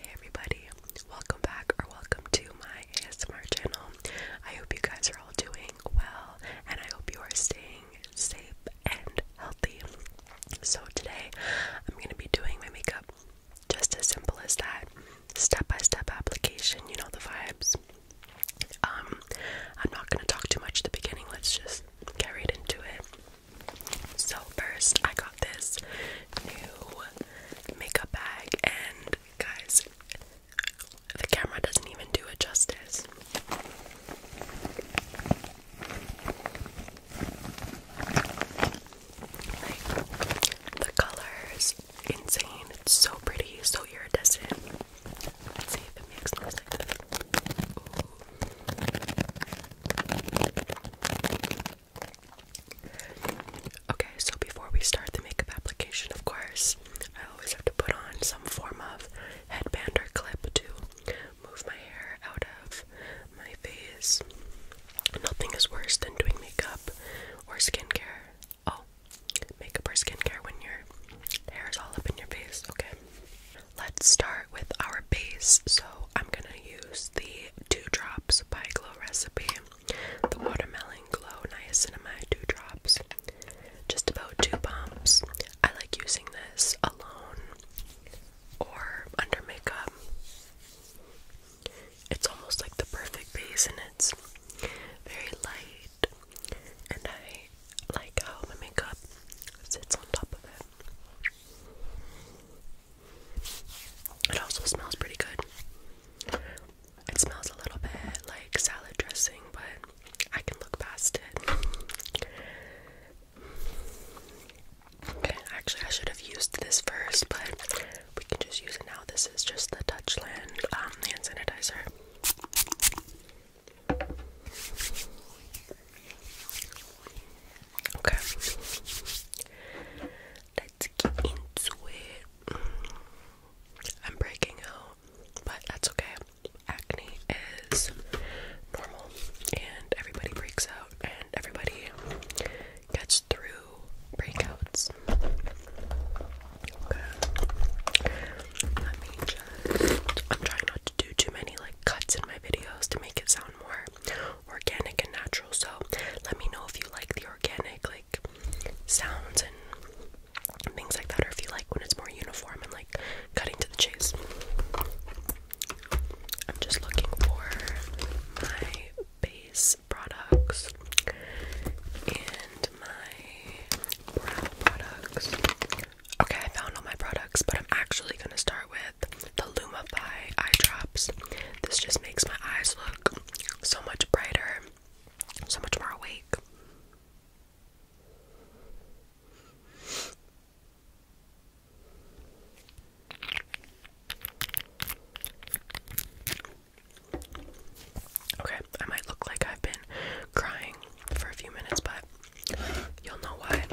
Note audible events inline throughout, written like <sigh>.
Hey everybody, welcome back or welcome to my ASMR channel. I hope you guys are all doing well and I hope you are staying safe and healthy. So today I'm going to be doing my makeup just as simple as that. Step-by-step application, you know the vibes. Um I'm not going to talk too much at the beginning. Let's just get right into it. So first I got this new makeup bag and guys the camera doesn't even do it justice. the colors insane. It's so pretty, so iridescent. Okay, so before we start the makeup application, of course, I always have to put on some form of headband or clip to move my hair out of my face. Nothing is worse than doing makeup or skincare. Oh, makeup or skincare when your hair is all up in your face. Okay. Let's start with our base. So I'm gonna use the Two Drops by Glow recipe, the Watermelon Glow Niacinamide Two Drops. Just about two pumps. I like using this alone or under makeup. It's almost like the perfect base, and it's very light. And I like how my makeup sits on top of it. It also smells pretty good. It smells a little bit like salad dressing, but I can look past it. Okay, actually, I should have used this first, but we can just use it now. This is just the Dutchland um, hand sanitizer. Okay. Let's get into it. Mm. I'm breaking out, but that's okay. Acne is normal, and everybody breaks out, and everybody gets through breakouts. Okay. Let me just. I'm trying not to do too many like cuts in my videos to make it sound more organic and natural. So let me know if you like the organic like sounds and things like that, or if you like when it's more uniform and like cutting to the chase. I'm just looking for my base products and my brow products. Okay, I found all my products, but I'm actually gonna start with with the Lumify eye drops. This just makes my eyes look so much brighter, so much more awake. Okay, I might look like I've been crying for a few minutes, but You'll know why.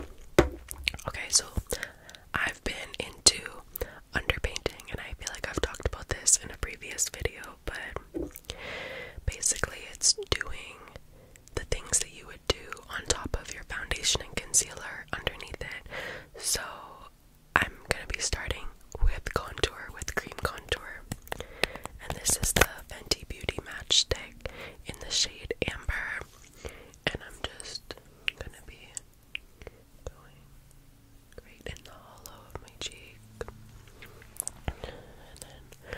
Okay, so I've been into underpainting, and I feel like I've talked about this in a previous video, but basically, it's doing the things that you would do on top of your foundation and concealer underneath it. So, I'm gonna be starting with contour, with cream contour, and this is the Fenty Beauty Matchstick in the shade Amber and I'm just gonna be going right in the hollow of my cheek, and then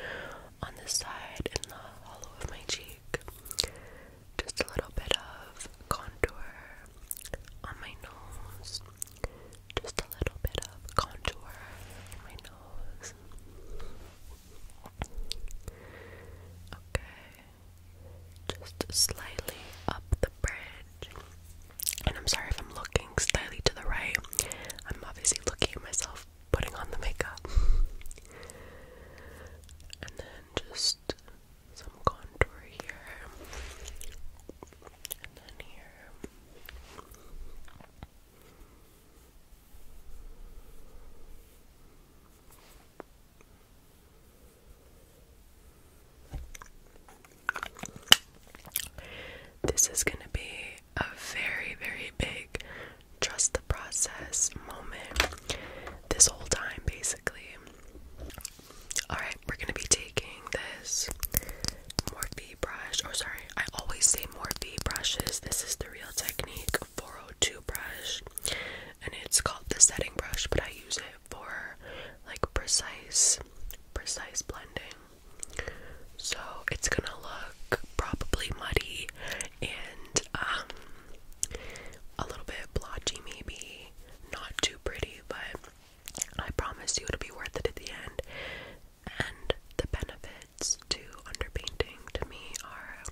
on the side in the hollow of my cheek, just a little bit of contour on my nose, just a little bit of contour in my nose. Okay. Just slightly up the bridge. And I'm sorry if I'm looking slightly to the right. I'm obviously looking at myself putting on the makeup. and then just some contour here. And then here. This is going to be a very, very big trust the process moment this whole time, basically. Alright, we're going to be taking this Morphe brush. Or oh, sorry, I always say Morphe brushes. This is the real technique. 402 brush and it's called the setting brush but I use it for like precise precise blending so it's gonna look probably muddy and um a little bit blotchy maybe not too pretty but I promise you it'll be worth it at the end and the benefit benefits underpainting to me are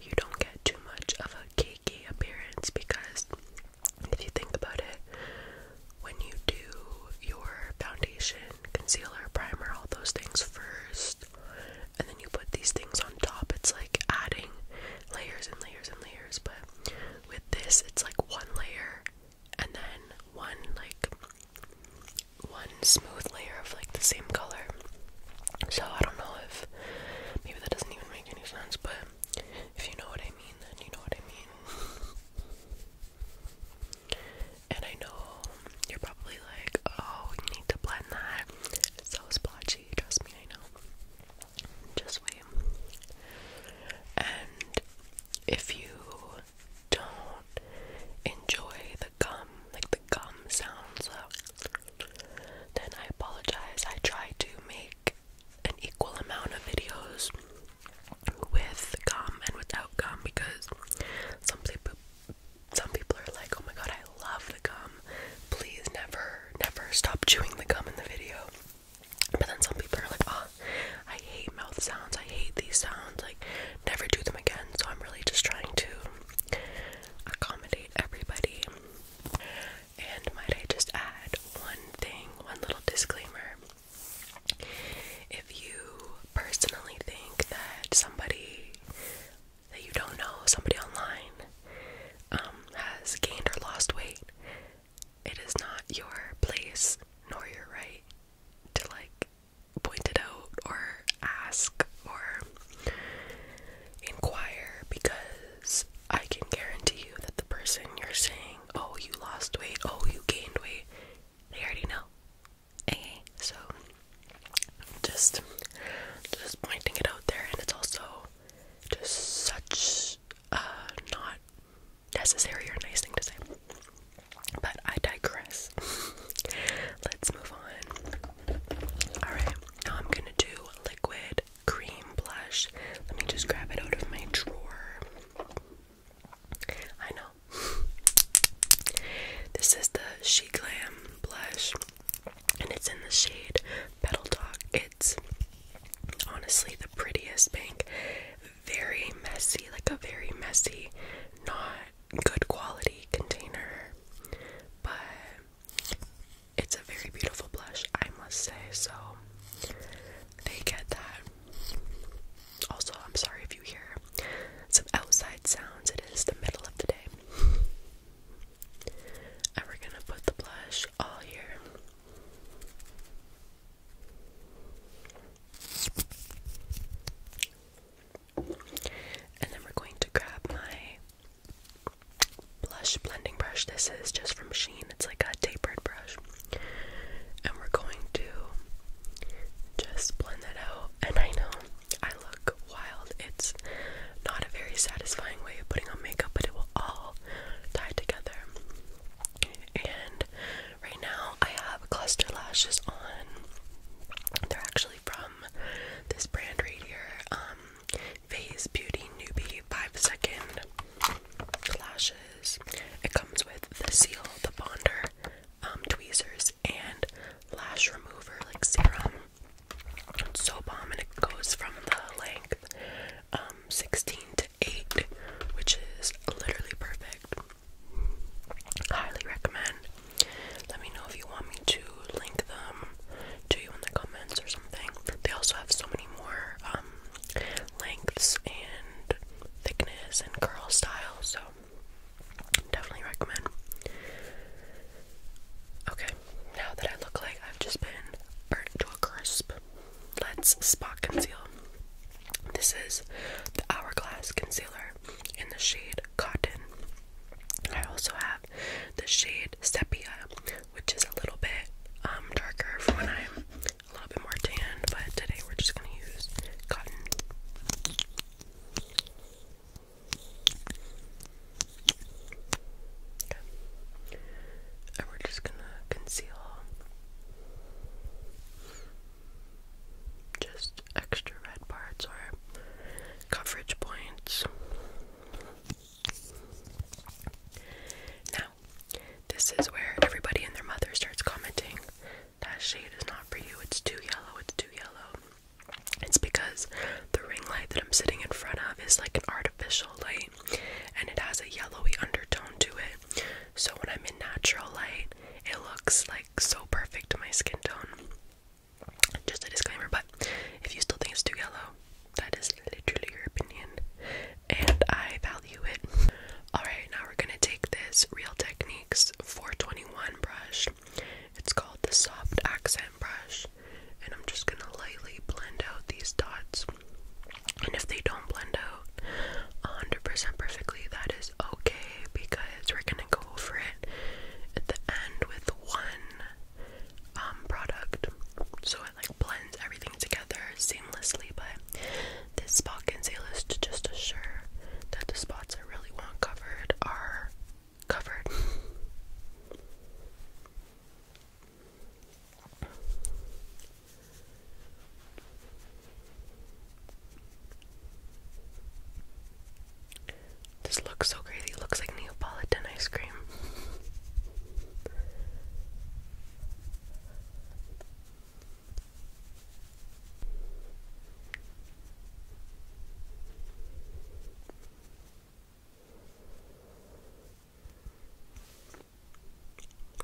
you don't get too much of a cakey appearance because if you think about it, when you do your foundation, concealer, primer, all those things first, and then you put these things on top, it's like adding layers and layers and layers. But with this, it's like one layer and then one like one smooth layer of like the same color. So I don't know if maybe that doesn't even make any sense, but if you know what I mean, then you know what I mean. and I know you're probably like, oh, you need to blend that. It's so splotchy, trust me, I know. Just wait. And if you don't enjoy the gum like the gum sounds. Then I apologize. I try to make an equal amount of videos with gum and without gum because some people some people are like, "Oh my god, I love the gum. Please never never stop chewing the gum in the video." But then some people are like, "Oh, I hate mouth sounds. I hate these sounds. Like never do them again." So I'm really just trying to accommodate everybody. And might I just add one thing, one little disclaimer. If you personally think that somebody that you don't know, somebody online, um, has gained or lost weight, it is not your place nor your right to like point it out or ask or inquire because I can guarantee you that the person you're saying, oh, you lost weight, oh, you gained weight, they already know. Okay, eh, so just just pointing it out there, and it's also just such a not necessary or nice thing to say. But I digress. <laughs> Let's move on. Alright, now I'm gonna do liquid cream blush. Let me just grab it out of my drawer. I know. <laughs> This is the She Glam blush, and it's in the shade Petal Talk. It's honestly the prettiest pink. Very messy, like a very messy, not good quality container, but it's a very beautiful blush, I must say. So they get that. Also, I'm sorry if you hear some outside sounds, it is the middle of the day. And we're gonna put the blush all here. And then we're going to grab my blush blending brush. This is just from Sheen, it's like a tapered brush. And we're going to just blend that out. And I know I look wild, it's not a very satisfying way of putting on makeup, but it will all tie together. And right now, I have cluster lashes on. They're actually from this brand right here, um, Phase Beauty Newbie 5 Second Lashes. It comes with the seal, the bonder, um, tweezers, and lash remover, like serum. It's so bomb, and it goes from the length um, 16 to 8, which is literally perfect. Highly recommend. Let me know if you want me to link them to you in the comments or something. They also have so many more um, lengths and thickness and curl styles, so definitely recommend. Okay, now that I look like I've just been burnt to a crisp, let's spot conceal. This is the Hourglass Concealer in the shade Cotton. I also have the shade Sepia, which is a little bit um, darker for when I'm a little bit more tan, but today we're just going to use Cotton. And we're just going to conceal just extra red parts or coverage points. Now, this is where everybody and their mother starts commenting that shade is not for you, it's too yellow, it's too yellow. It's because the ring light that I'm sitting in front of is like an artificial light and it has a yellowy undertone to it. So when I'm in natural light, it looks like so perfect to my skin tone. Just a disclaimer, but if you still think it's too yellow, that is literally your opinion, and I value it. Alright, now we're gonna take this Real Techniques 421 brush. It's called the Soft Accent Brush, and I'm just gonna lightly blend out these dots. And if they don't blend out 100% perfectly, that is okay because we're gonna going go over it at the end with one um, product so it like blends everything together seamlessly but this spot concealer is to just assure that the spots I really want covered are covered <laughs> This looks so crazy. It looks like Neapolitan ice cream.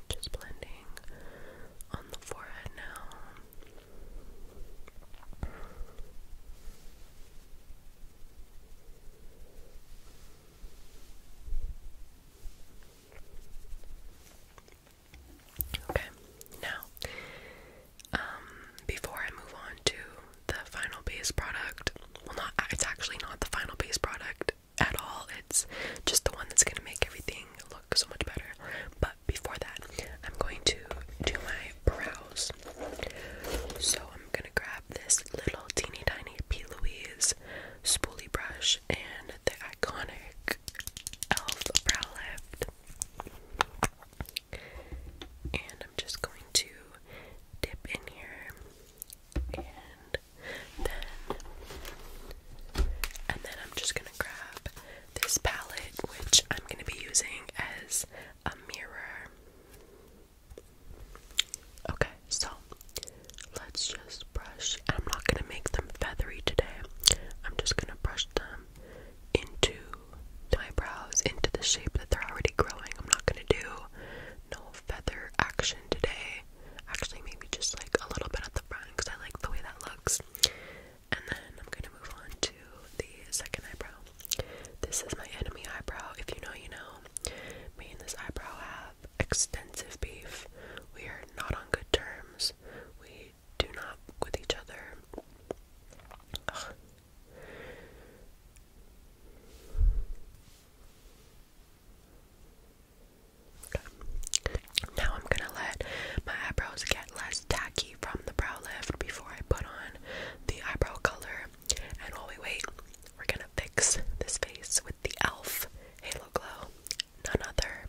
Just blending on the forehead now. Okay, now, um, before I move on to the final base product, well, not it's actually not the final base product at all, it's just the one that's gonna make everything look so much better. But before that, I'm going to do my brows. So I'm gonna grab this little teeny tiny P. Louise spoolie brush and the iconic e.l.f. brow lift. And I'm just going to dip in here and then and then I'm just gonna grab this palette, which I'm going to be using as a mirror. Okay, so let's just brush. I'm not going to make them feathery today. I'm just going to brush them into my brows, into the shape that they're already growing. I'm not going to do no feather action today. Actually, maybe just like a little bit at the front I like the way that looks. And then I'm going to move on to the second eyebrow. This is my enemy eyebrow. If you know, you know. Me and this eyebrow have extensive beef. We are not on good terms. We do not with each other. Now I'm gonna let my eyebrows get less tacky from the brow lift before I put on the eyebrow color. And while we wait, we're gonna fix this face with the e.l.f. Halo Glow. None other,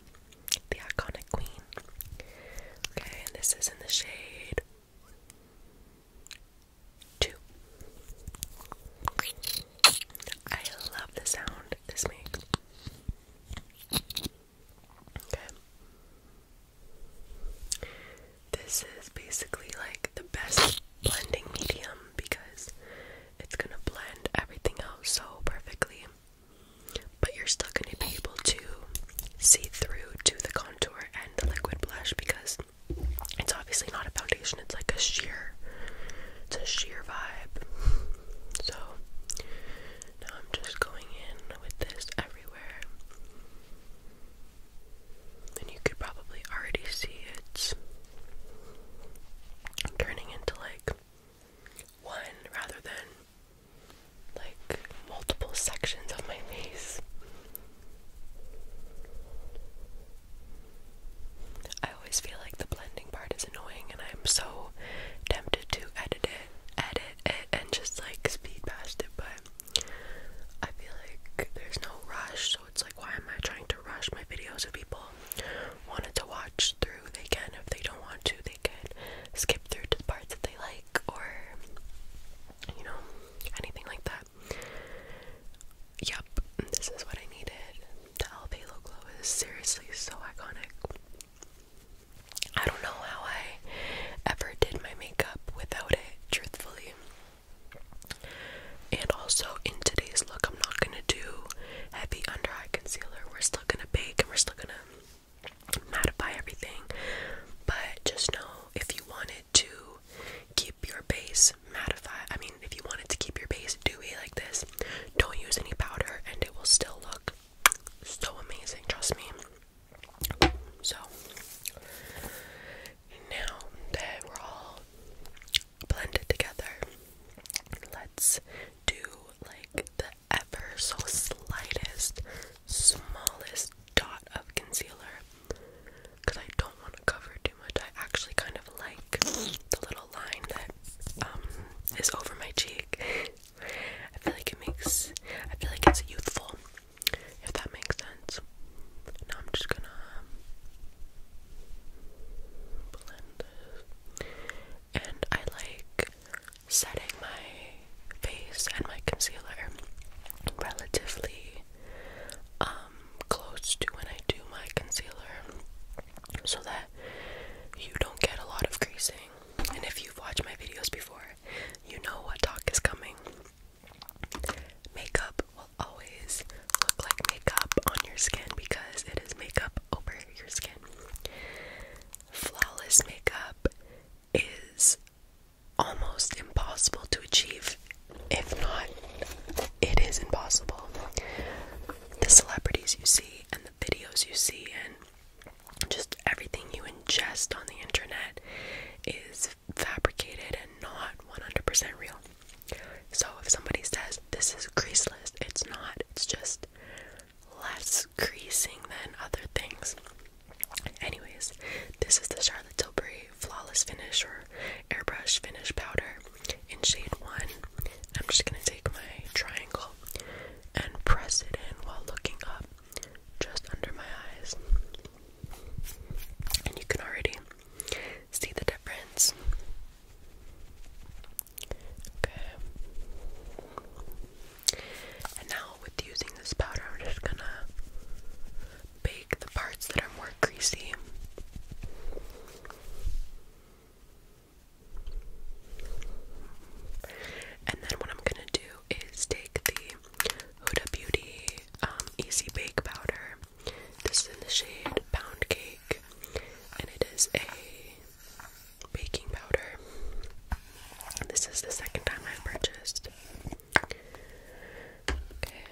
the iconic queen. Okay, and this is in the shade two. I love the sound this makes. Okay. This is basically like the best blending medium because it's gonna blend everything out so perfectly, but you're still gonna be able to see through to the contour and the liquid blush because it's obviously not a foundation, it's like a sheer it's a sheer vibe. So now I'm just going in with this everywhere. And you could probably already see it's turning into like one rather than like multiple sections of my face. I always feel like the blending part is annoying and I'm so tempted to edit it edit it and just like speed past it, but I feel like there's no rush, so it's like, why am I trying to rush my videos? If people wanted to watch through, they can. If they don't want to, they can skip through to the parts that they like, or you know, anything like that. Yep, this is what I needed. The Alvelo glow is seriously so iconic. I don't know how I ever did my makeup without it, truthfully. And also, in today's look, I'm not gonna do heavy under eye concealer. We're still gonna bake and we're still gonna mattify everything. But just know if you wanted to keep your base mattified, I mean, if you wanted to keep your base dewy like this, don't use any powder and it will still look so amazing, trust me. So now that we're all blended together, let's do like the ever so slightest, smallest dot of concealer because I don't want to cover too much. I actually kind of like the little line that um, is over my cheek. I feel like it makes I feel like it's youthful, if that makes sense. Now I'm just gonna um, blend this. And I like setting my face and my concealer relatively um, close to when I do my concealer so that you don't get a lot of greasing. And if you've watched my videos before, you know what talk is coming. Makeup will always look like makeup on your skin because it is makeup over your skin. Flawless makeup is almost impossible to achieve. If not, it is impossible. The celebrities you see and videos you see and just everything you ingest on the internet is fabricated and not 100% real. So if somebody says this is greaseless, it's not. It's just less creasing than other things. Anyways, this is the Charlotte Tilbury Flawless Finish or Airbrush Finish Powder in shade 1. I'm just going to take my triangle and press it in while looking up just under my eyes. And you can already see the difference. Okay. And now, with using this powder, I'm just going to bake the parts that are more greasy. And then what I'm gonna do is take the Huda Beauty um, Easy Bake Powder. This is in the shade Pound Cake, and it is a baking powder. this is the second time I've purchased. Okay,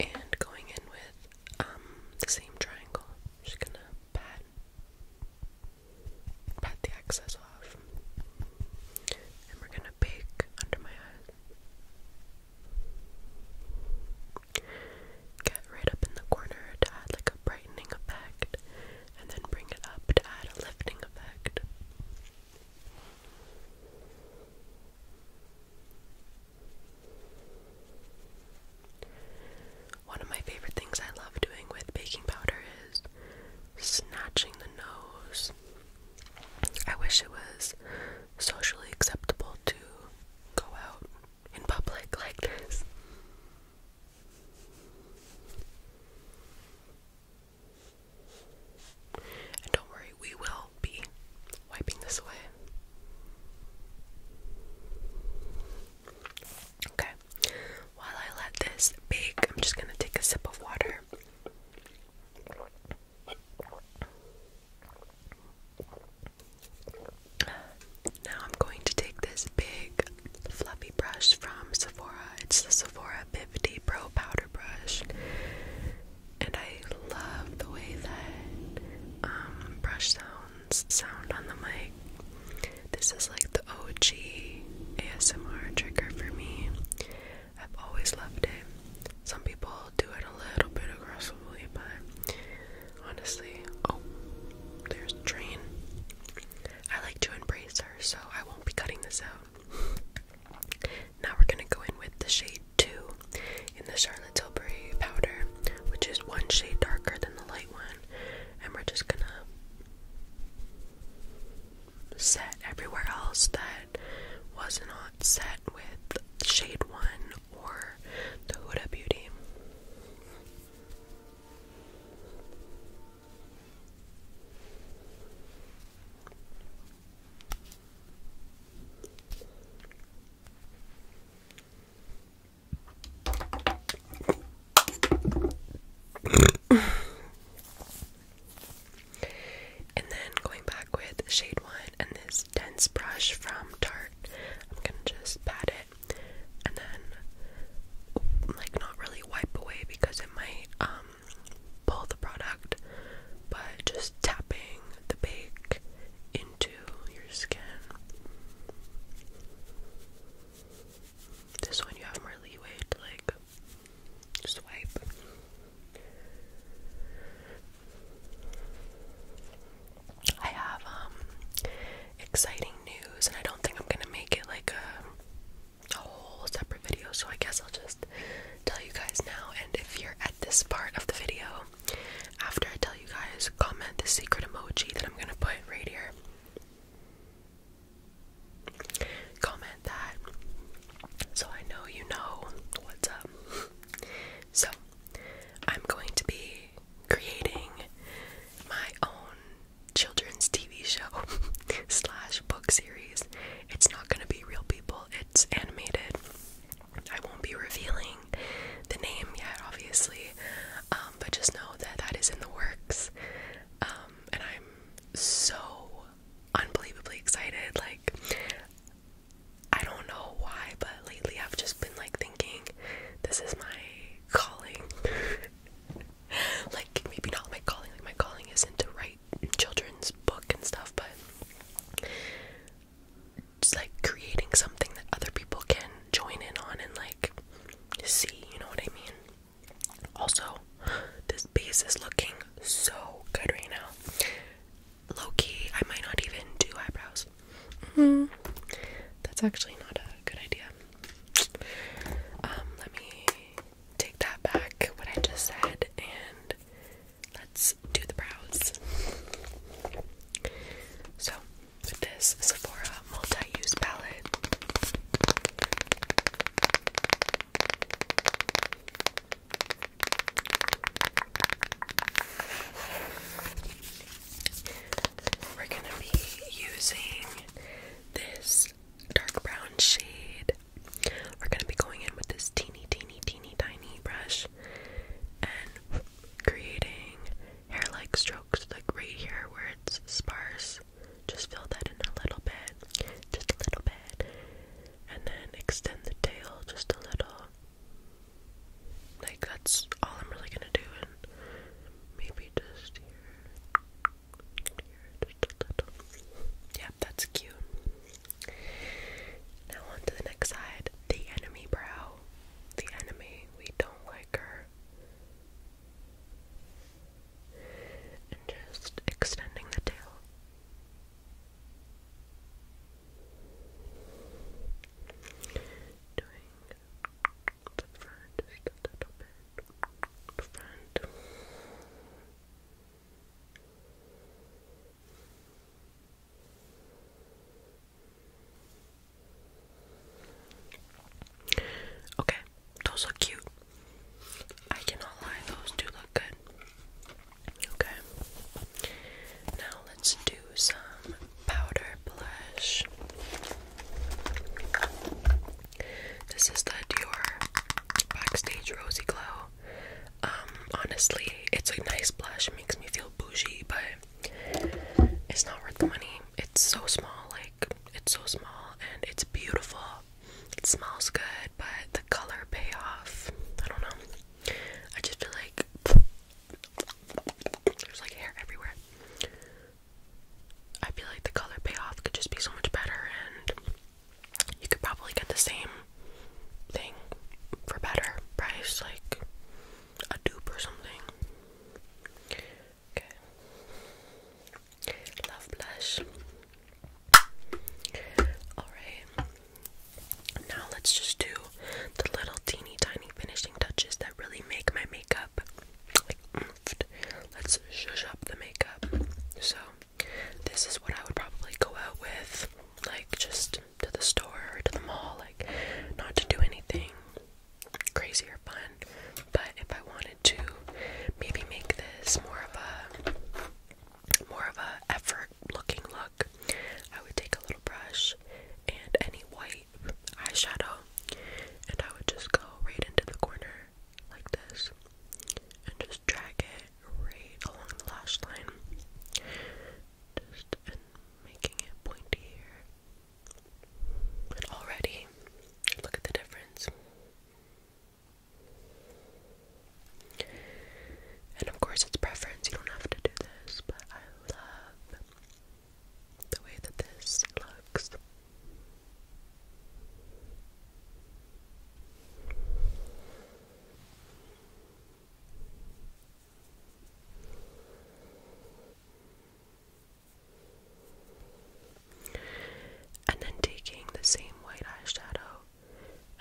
and going in with um, the same triangle. just gonna pat pat the excess off. And we're gonna bake under my eyes. Get right up in the corner to add like a brightening effect, and then bring it up to add a lifting effect. One of my favorite things I love doing with baking powder is snatching the nose. I wish it was socially acceptable to go out in public <laughs> like this. And don't worry, we will be wiping this away. Okay, while I let this bake, I'm just gonna take a sip of water. Now I'm going to take this big fluffy brush from Sephora. It's the Sephora 50 Pro Powder Brush. And I love the way that um, brush sounds sound on the mic. This is like the OG ASMR trigger for me. I've always loved it. Some people do it a little bit aggressively, but honestly, oh, there's the train. I like to embrace her, so I won't be cutting this out. Now we're gonna go in with the shade 2 in the Sharpie the powder, which is one shade darker than the light one, and we're just gonna set everywhere else that was not set with shade one or the Huda Beauty and then going back with shade one and this dense brush from Tarte, I'm gonna just pat it and then like not really wipe away because it might um, pull the product, but just tapping the bake into your skin. This one you have more leeway to like swipe. I have um exciting news and I don't think I'm gonna make it like a, a whole separate video so I guess I'll just tell you guys now and if you're at this part of the video after I tell you guys, comment the secret emoji that I'm gonna put right here. Comment that so I know you know what's up. So, I'm going to be creating my own children's TV show <laughs> slash book series. It's not gonna be real people, it's animated. I won't be revealing the name yet, obviously, um, but just know that that is in the works. Um, and I'm so unbelievably excited. Like, I don't know why, but lately I've just been like thinking this is my calling. <laughs> like, maybe not my calling, like, my calling isn't to write children's book and stuff, but it's like creating something that other people can join in on and like see, you know what I mean? Also, this base is looking so good right now. Low key, I might not even do eyebrows. Mm, that's actually not a good idea. Um, let me take that back, what I just said, and let's do the brows. So, this Sephora multi-use palette. We're going to be using this dark brown shade. We're going to be going in with this teeny, teeny, teeny, tiny brush and creating hair like strokes, like right here where it's sparse. Just fill that in a little bit, just a little bit, and then extend the tail just a little. Like that's all I'm really gonna do, and maybe just here, here just Yeah, that's cute. Now on to the next side, the enemy brow the enemy. We don't like her. And just extending the tail. Doing the front just a little bit. The front. Okay, those look cute. I cannot lie, those do look good. Okay. Now let's do some powder blush. This is the Dior Backstage Rosy Glow. Um, honestly, it's a nice blush. It makes me feel bougie, but it's not worth the money. It's so small, like it's so small and it's beautiful. It smells good, but the color payoff, I don't know. I just feel like there's like hair everywhere. I feel like the color payoff could just be so much better and you could probably get the same thing for better price like a dupe or something. Okay. Love blush. Alright. Now let's just do the little teeny tiny finishing touches that really make my makeup Let's shush up the makeup. So this is what I would probably go out with. Like just to the store or to the mall, like not to do anything crazy or fun. But if I wanted to maybe make this more of a more of a effort looking look, I would take a little brush and any white eyeshadow and I would just go right into the corner like this and just drag it right along the lash line. Just making it pointier. already, look at the difference. And of course, it's preference, you don't have to do this, but I love the way that this looks. And then taking the same white eyeshadow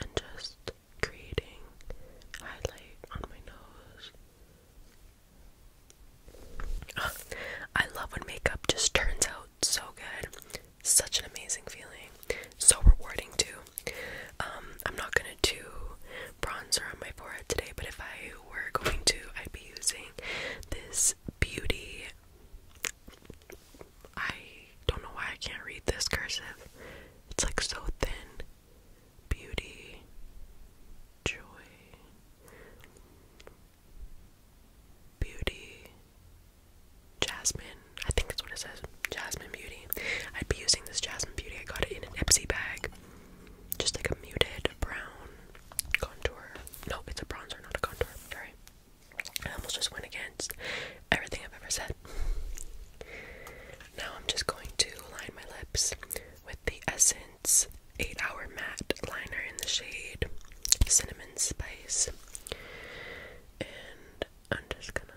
and just creating highlight on my nose. Ah, I love when makeup just turns out so good. Such an amazing feeling. So rewarding, too. Um, I'm not gonna do bronzer on my forehead today, but if I were going to, I'd be using this beauty. I don't know why I can't read this cursive. It's like so thin. Beauty. Joy. Beauty. Jasmine. I think that's what it says. Jasmine Beauty. I'd be using this Jasmine Beauty. I got it in an Ipsy bag. Just like a muted brown contour. No, it's a bronzer, not a contour. Sorry. I almost just went against everything I've ever said. Now I'm just going to line my lips with the Essence 8 Hour Matte Liner in the shade Cinnamon Spice. And I'm just gonna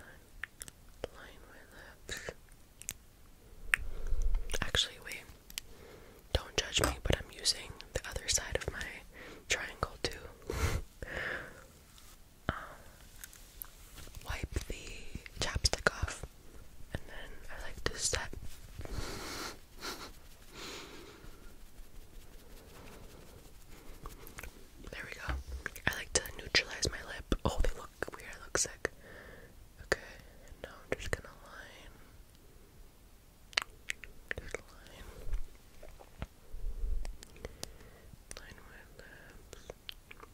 line my lips. Actually, wait. Don't judge me, but I'm using the other side of my triangle too. Uh, wipe the chapstick off, and then I like to set. There we go. I like to neutralize my lip. Oh, they look look weird, I look sick. Okay, now I'm just gonna line. Just line. Line my lips. Okay,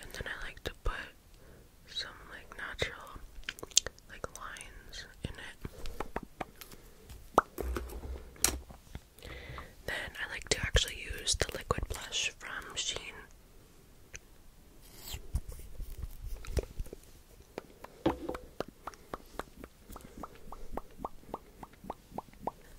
and then I like to put some like natural like lines in it. Then I like to actually use the liquid blush from Sheen.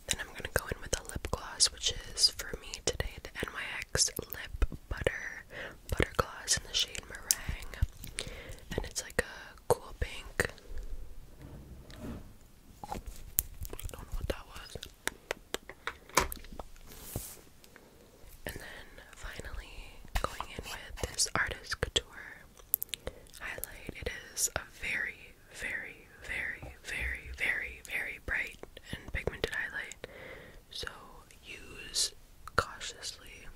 Then I'm gonna go in with a lip gloss, which is for me today the NYX Lip Butter Butter Gloss in the shade Meringue, and it's like a cool pink. don't know what that was. And then finally, going in with this Artist Couture highlight. It is a very, very, very, very, very, very bright and pigmented highlight. So use cautiously.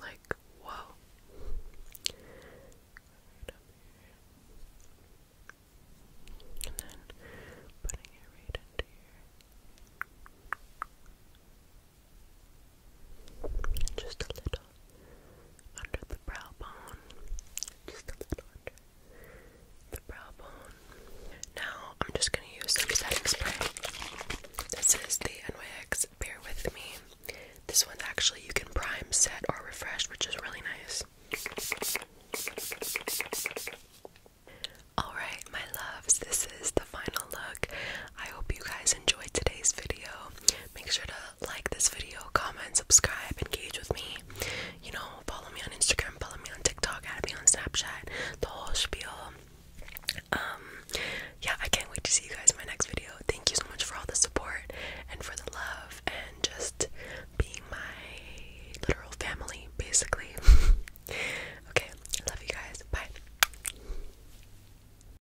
Like, whoa. And then putting it right into here. Just a little under the brow bone. Just a little under the brow bone. Now I'm just gonna use some setting spray. This is the NYX Bear With Me. This one's actually you can prime, set, or refresh, which is really nice. Alright, my loves, this is the final look. I hope you guys enjoyed today's video. Make sure to like this video, comment, subscribe, engage with me. You know, follow me on Instagram, follow me on TikTok, add me on Snapchat, the whole spiel. Um, yeah, I can't wait to see you guys in my next video. Thank you so much for all the support and for the love and just being my literal family, basically. <laughs> okay, love you guys. Bye.